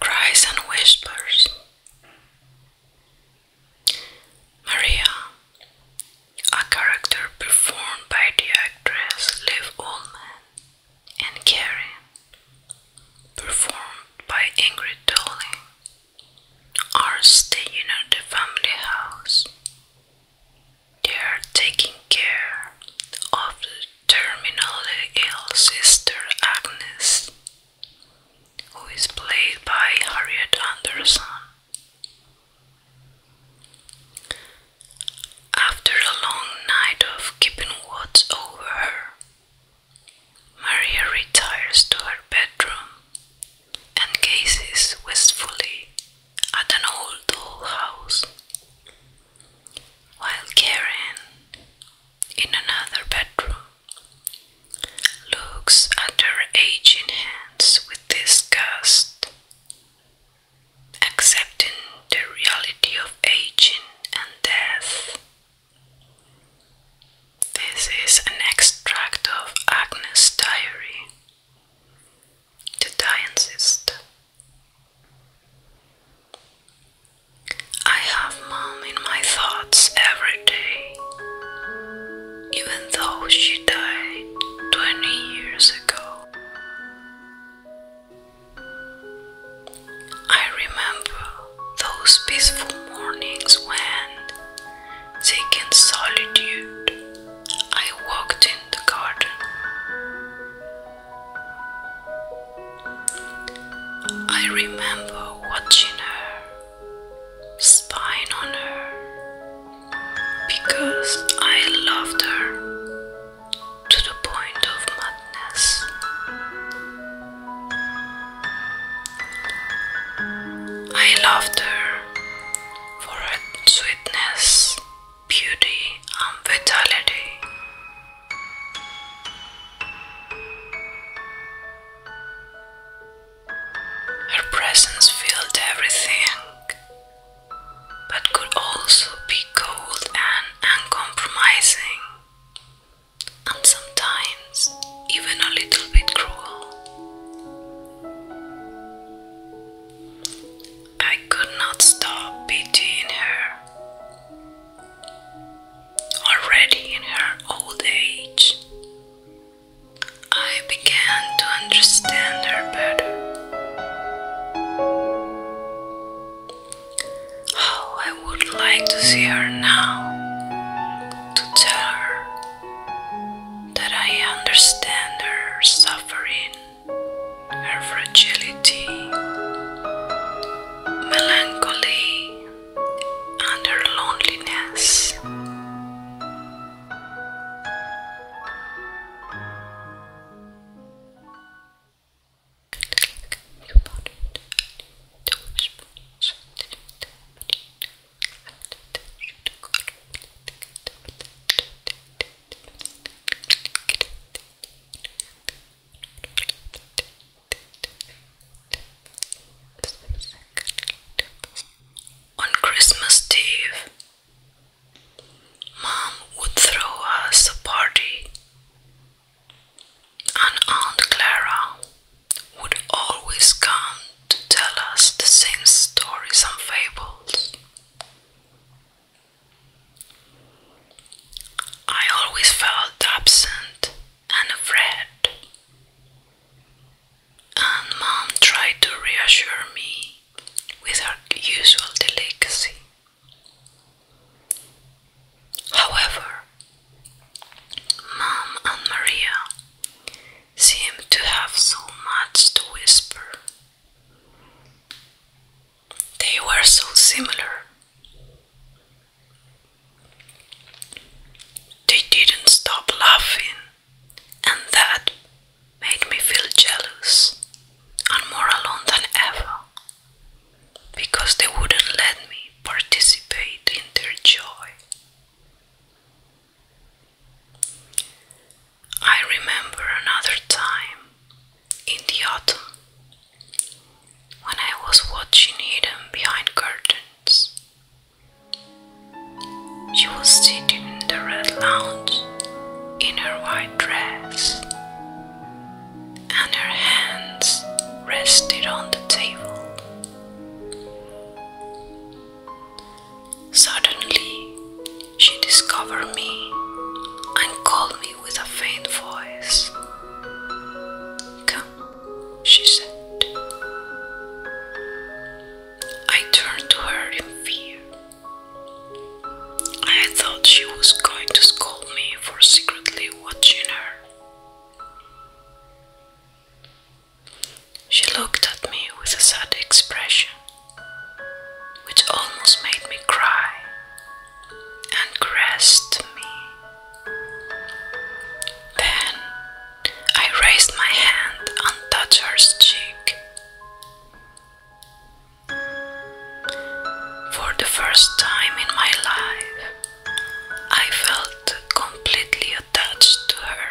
Cries and whispers. Maria, a character performed by the actress Liv Ullman and Karen, performed by Ingrid Dolling, are staying at the family house. They are taking care of the terminally ill sister Agnes, who is played by Harriet Anderson. After a long night of keeping watch over her, Maria retires to her bedroom and gazes wistfully at an old dollhouse. While Karen, in another bedroom, looks at her aging hands with disgust accepting the reality of aging and death. This is an extract of Agnes' diary. The Diancist. I have mom in my thoughts every day, even though she died 20 years ago. I remember those peaceful mornings when, taken solitude, I walked in the garden. I remember watching her, spying on her, because I loved her to the point of madness. I loved her for her sweetness, beauty, and vitality. Her presence filled everything but could also be cold and uncompromising, and sometimes even a little bit cruel. I could not stop pitying her. Already in her old age, I began to understand her better. How I would like to see her now, to tell her that I understand her suffering, her fragility, melancholy, and her loneliness. On Christmas Eve, Mom would throw us a party, and Aunt Clara would always come to tell us the same stories and fables. I always felt absent and afraid, and Mom tried to reassure me with her usual delicacy. However, Mom and Maria seemed to have so much to whisper. They were so similar. They didn't stop laughing, and that Made me feel jealous and more alone than ever because they wouldn't let me participate in their joy. I remember another time in the autumn when I was watching hidden behind curtains. She was sitting in the red lounge in her white dress, and her hands rested on the table. Suddenly, she discovered me and called me with a faint voice. Come, she said. I turned to her in fear. I thought she was going to scold me for secretly watching her. She looked at me with a sad expression, which almost made me cry, and caressed me. Then I raised my hand and touched her cheek. For the first time in my life, I felt completely attached to her.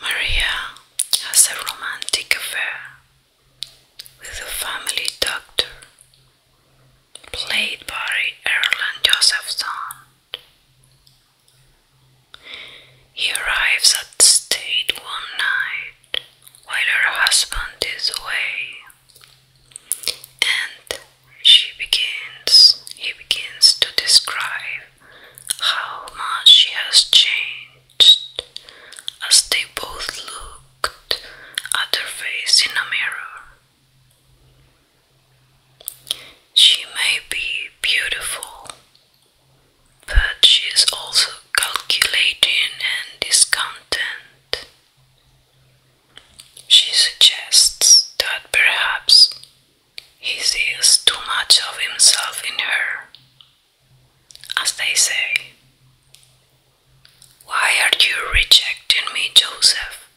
Maria has a romantic affair with the family doctor, played by Erland Josephson. He arrives at the state one night while her husband is away and she begins he begins to describe how much she has changed as they both looked at their face in a mirror. She may be beautiful, but she is also calculating and discontent. She suggests that perhaps he sees too much of himself in her. As they say, Why are you rejecting me, Joseph?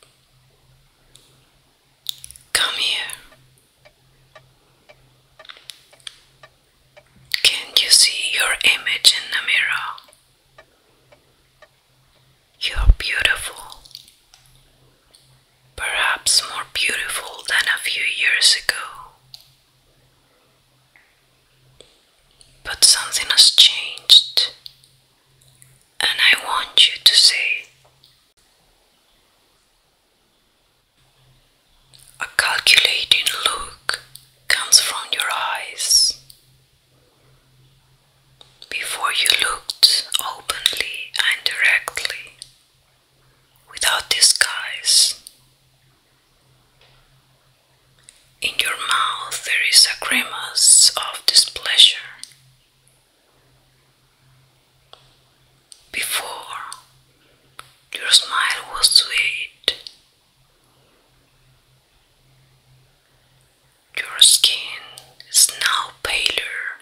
Come here. Can you see your image in the mirror? You're beautiful. Perhaps more beautiful than a few years ago. But something has changed, and I want you to see. a calculating look comes from your eyes. Before you looked openly and directly, without disguise. In your mouth there is a grimace of displeasure. Before, your smile was sweet. Your skin is now paler.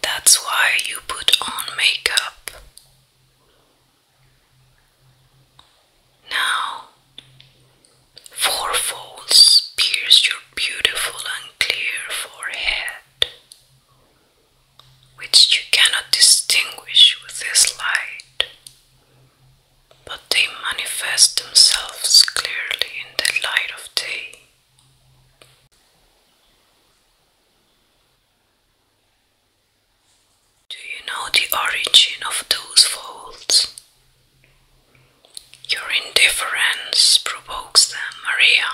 That's why you put on makeup. Now, four folds pierce your beautiful and clear forehead, which you cannot distinguish with this light but they manifest themselves clearly in the light of day. Do you know the origin of those faults? Your indifference provokes them, Maria.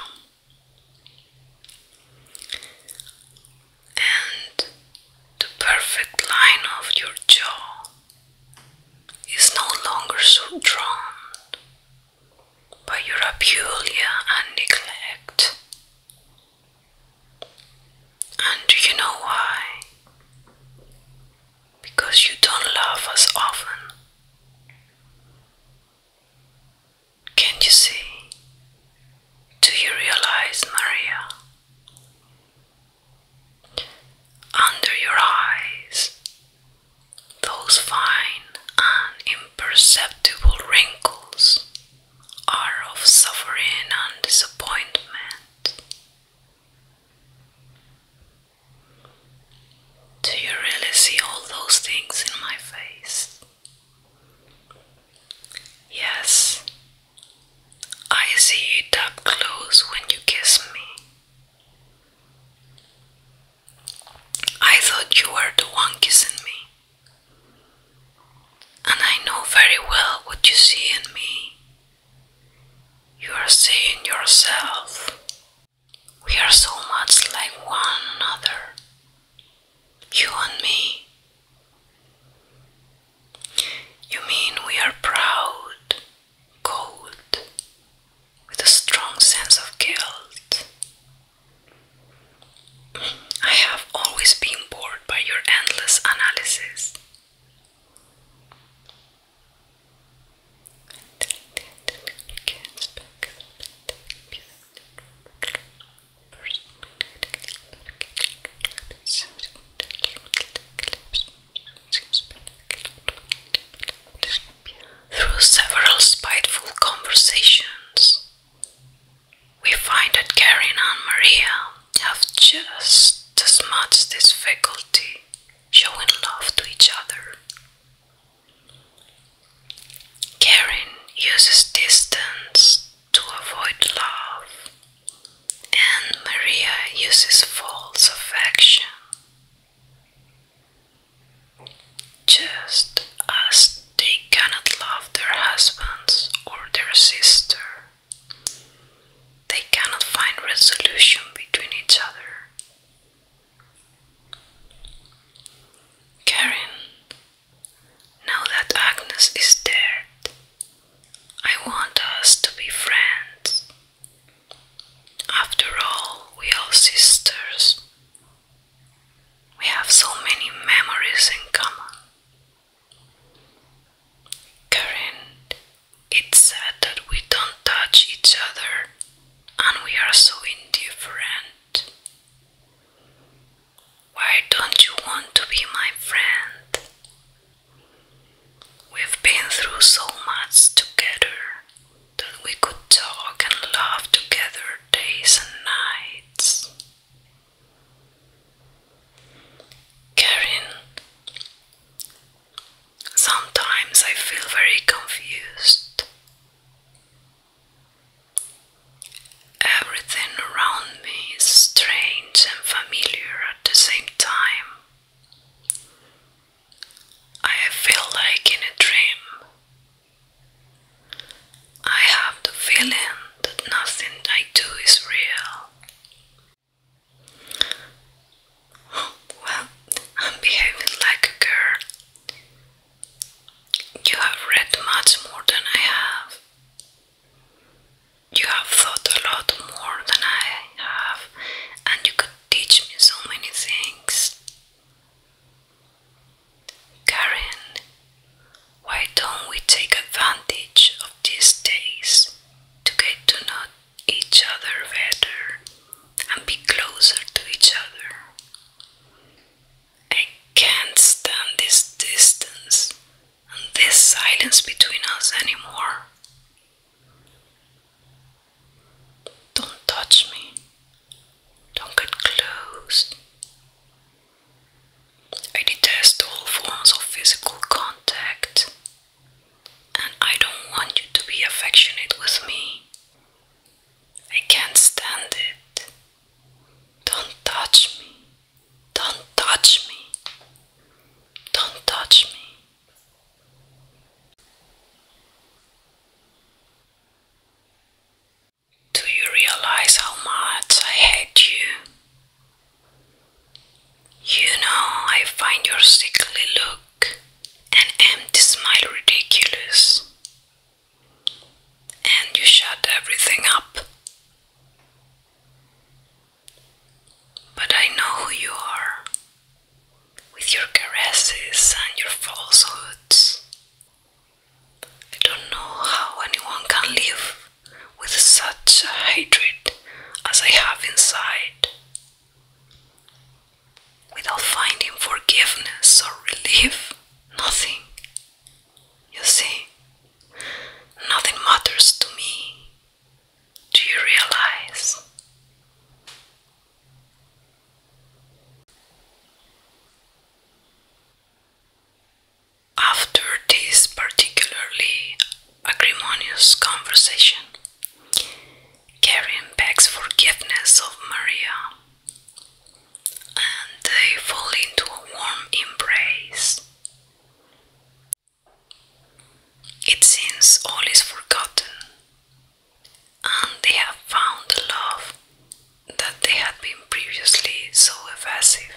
And the perfect line of your jaw is no longer so drawn by your abulia and neglect. And do you know why? Because you don't love us often. Can you see? Do you realize, Maria, under your eyes, those fine and wrinkles are of suffering and disappointment. Do you really see all those things in my face? Yes, I see it up close when you kiss me. I thought you were the one kissing me. And I know very well what you see in me. You are seeing yourself. We are so much like one another. You and me. You mean we are proud, cold, with a strong sense of guilt? I have always been bored by your endless analysis. Through several spiteful conversations, we find that Karen and Maria have just as much difficulty showing love to each other. Karen uses distance to avoid love and Maria uses false affection just as they cannot love their husbands or their sister. They cannot find resolution between each other. Karen, now that Agnes is dead, I want us to be friends. After all, we are sisters. We have so many memories in common. Karen, it's sad that we don't touch each other and we are so indifferent. Why don't you want to be my friend? We've been through so much together that we could talk and laugh together days and nights. Karin, sometimes I feel very confused. Everything around me is strange and familiar at the same time. I feel like in a dream. I have the feeling that nothing I do is real. well, I'm behaving like a girl. You have read much more than I have. You have thought a lot more than I have, and you could teach me so many things. Karen, why don't we take advantage of these days to get to know each other better and be closer to each other? I can't stand this distance and this silence between us anymore. Don't touch me. Don't get close. I detest all forms of physical contact, and I don't want you to be affectionate with me. I can't stand it. Don't touch me. Don't touch me. Don't touch me. Do you realize how much I hate you? You know, I find your sickly look and empty smile ridiculous. And you shut everything up. But I know who you are, with your caresses and your falsehoods. I don't know how anyone can live with such hatred as I have inside, without finding forgiveness or relief. Nothing. You see, nothing matters to me do you realize? After this particularly acrimonious conversation, Karen begs forgiveness of Maria and they fall into a warm embrace. It seems all is forgotten, and they have found the love that they had been previously so evasive.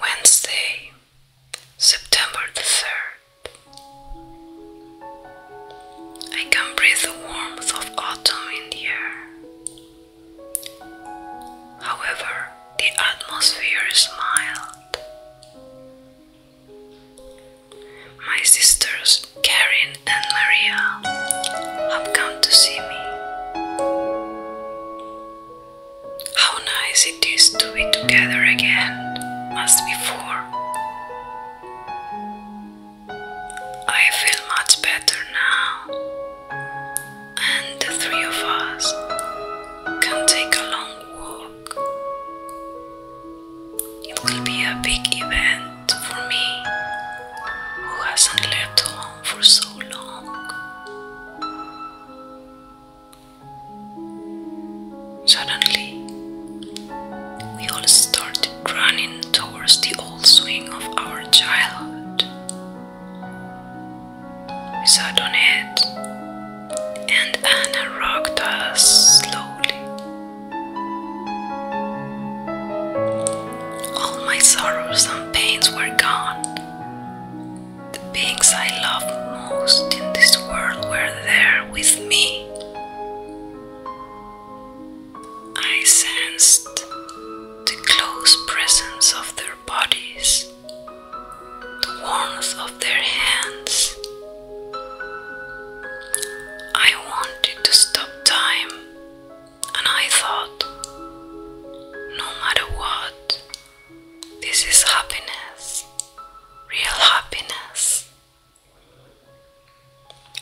Wednesday, September the 3rd. I can breathe the warmth of autumn in the air. However, the atmosphere is mild. My sisters Karen and Maria have come to see me. How nice it is to be together again as before. I feel much better now, and the three of us can take a long walk. It will be a big event for me who hasn't left home for so long. Suddenly, we all started running towards the old swing of our childhood. We sat on it, and Anna rocked us slowly all my sorrows and pains were gone. The beings I loved most in this world were there with me. I sensed the close presence of their bodies, the warmth of their hands, I wanted to stop time, and I thought, no matter what, this is happiness, real happiness.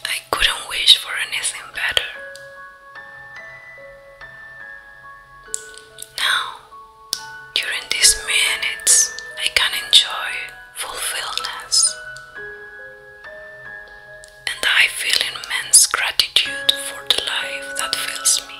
I couldn't wish for anything better. Now, during these minutes, I can enjoy fulfillness. And I feel immense gratitude for the life that fills me.